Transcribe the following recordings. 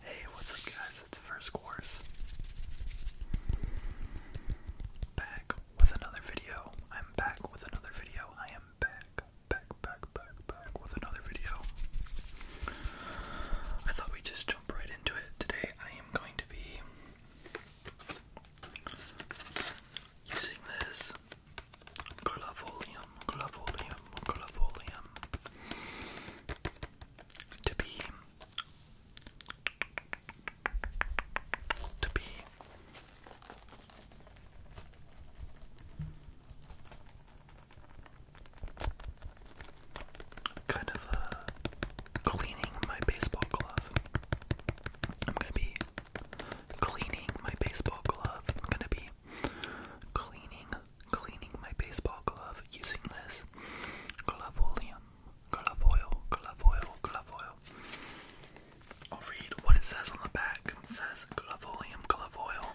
Hey, what's up, guys? It's First Course. Back with another video. I'm back with another video. I am back, back, back, back, back with another video. I thought we just jump right into it. Today, I am going to be using this glovolium, glovolium, glovolium to be to be kind of uh, cleaning my baseball glove. I'm gonna be cleaning my baseball glove. I'm gonna be cleaning cleaning my baseball glove using this glove oleum, glove oil, glove oil, glove oil. I'll read what it says on the back. It says glove oleum, glove oil,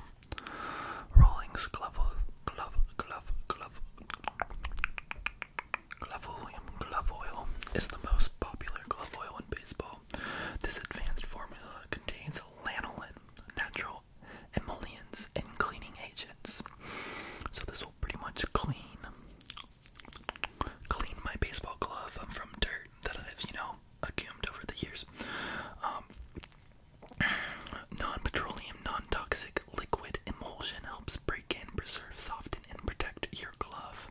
Rawlings glove, glove, glove, glove, glove oleum, glove oil is the most popular glove oil in baseball. This advanced formula contains lanolin, natural for emollients and cleaning agents. So this will pretty much clean clean my baseball glove from dirt that I've, you know, accumulated over the years. Um, non-petroleum, non-toxic liquid emulsion helps break in, preserve, soften, and protect your glove.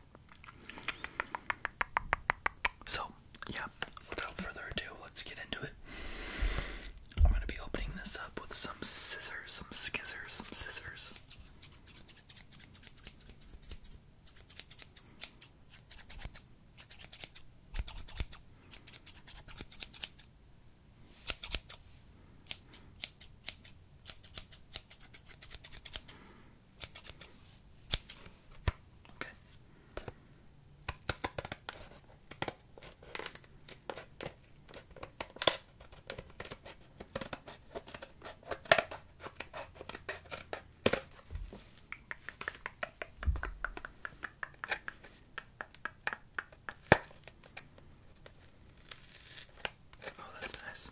So yeah, without further ado, let's get into it. I'm going to be opening this up with some scissors, some skizzers, some scissors. Okay. Oh, that's nice.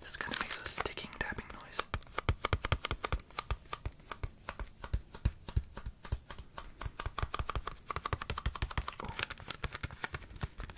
This kind of makes a sticking tapping noise. Oh.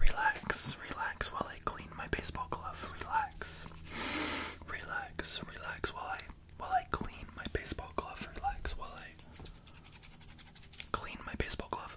Relax, relax while I clean my baseball glove. Relax. Relax, relax while I while I clean my baseball glove, relax while I clean my baseball glove.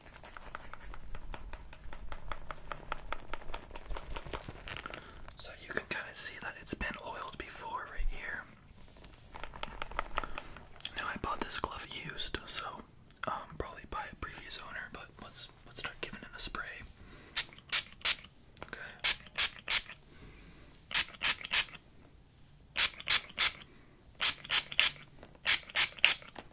So you can kind of see that it's been oiled before right here. Now I bought this glove used, so um, probably by a previous owner, but let's let's start giving it a spray. Okay.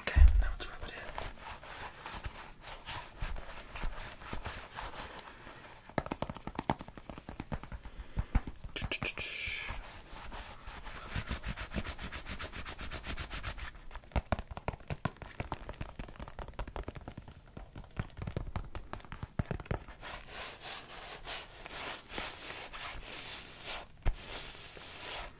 Okay, now let's wrap it in.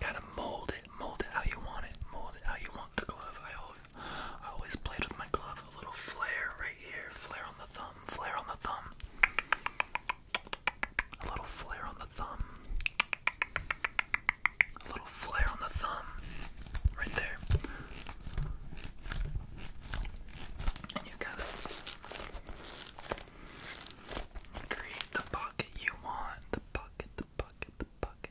Kind of mold it, mold it how you want it, mold it how you want the glove. I always played with my glove, a little flare right here, flare on the thumb, flare on the thumb, a little flare on the thumb, a little flare on the thumb, right there. And you gotta create the pocket you want, the pocket, the pocket, the pocket.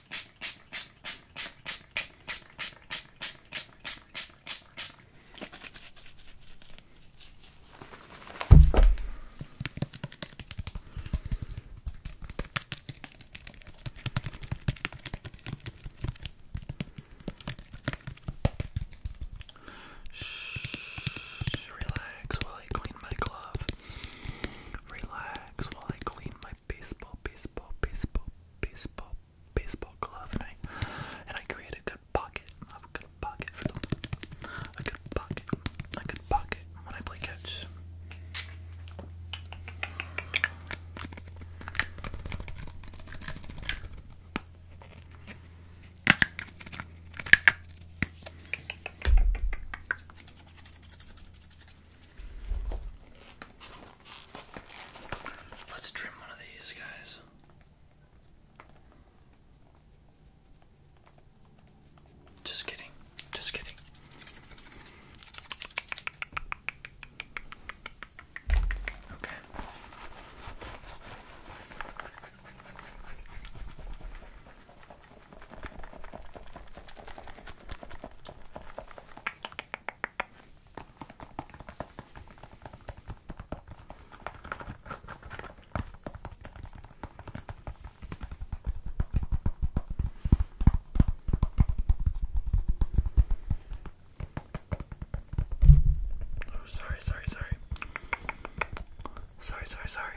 Shh, relax while I clean my glove. Relax while I clean my baseball, baseball, baseball, baseball, baseball glove, and I and I create a good pocket. I have a good pocket for them. A good pocket. A good pocket when I play catch. Let's trim one of these guys. Just kidding. Just kidding. Okay. Oh, sorry, sorry, sorry. Sorry, sorry, sorry.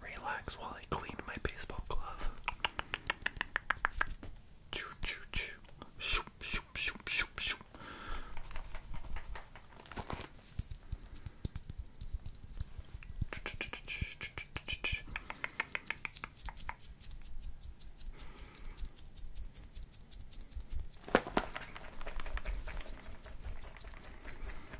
Relax while I clean my baseball glove.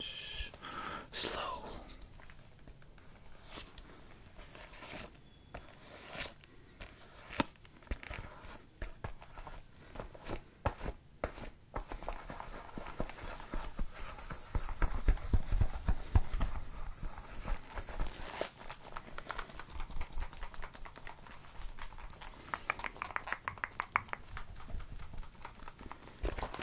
Shh. Slow.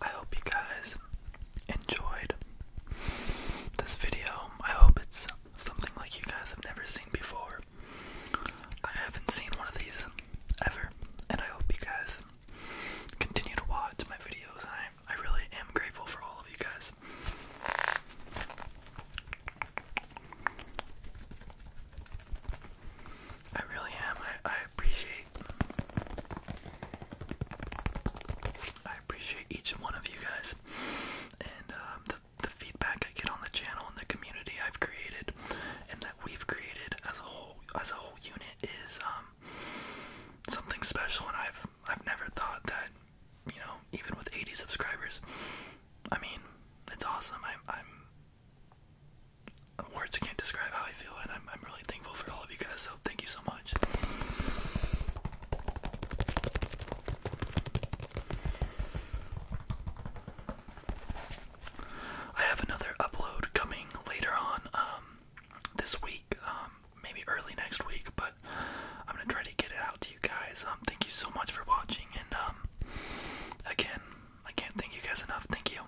I hope you guys enjoyed this video. I hope it's something like you guys have never seen before. I haven't seen one of these ever, and I hope you guys continue to watch my videos. I, I really am grateful for all of you guys. I really am. I, I appreciate I appreciate each one of you guys and um, the, the feedback I get on the channel and the community I've created and that we've created as a whole as a whole unit is um, something special and I've I've never thought that you know even with 80 subscribers I mean it's awesome I'm I'm words can't describe how I feel and I'm I'm really thankful for all of you guys, so thank you so much. I have another upload coming later on um, this week, um, maybe early next week, but I'm gonna try to get it out to you guys. Um, thank you so much for watching, and again, I can't thank you guys enough. Thank you.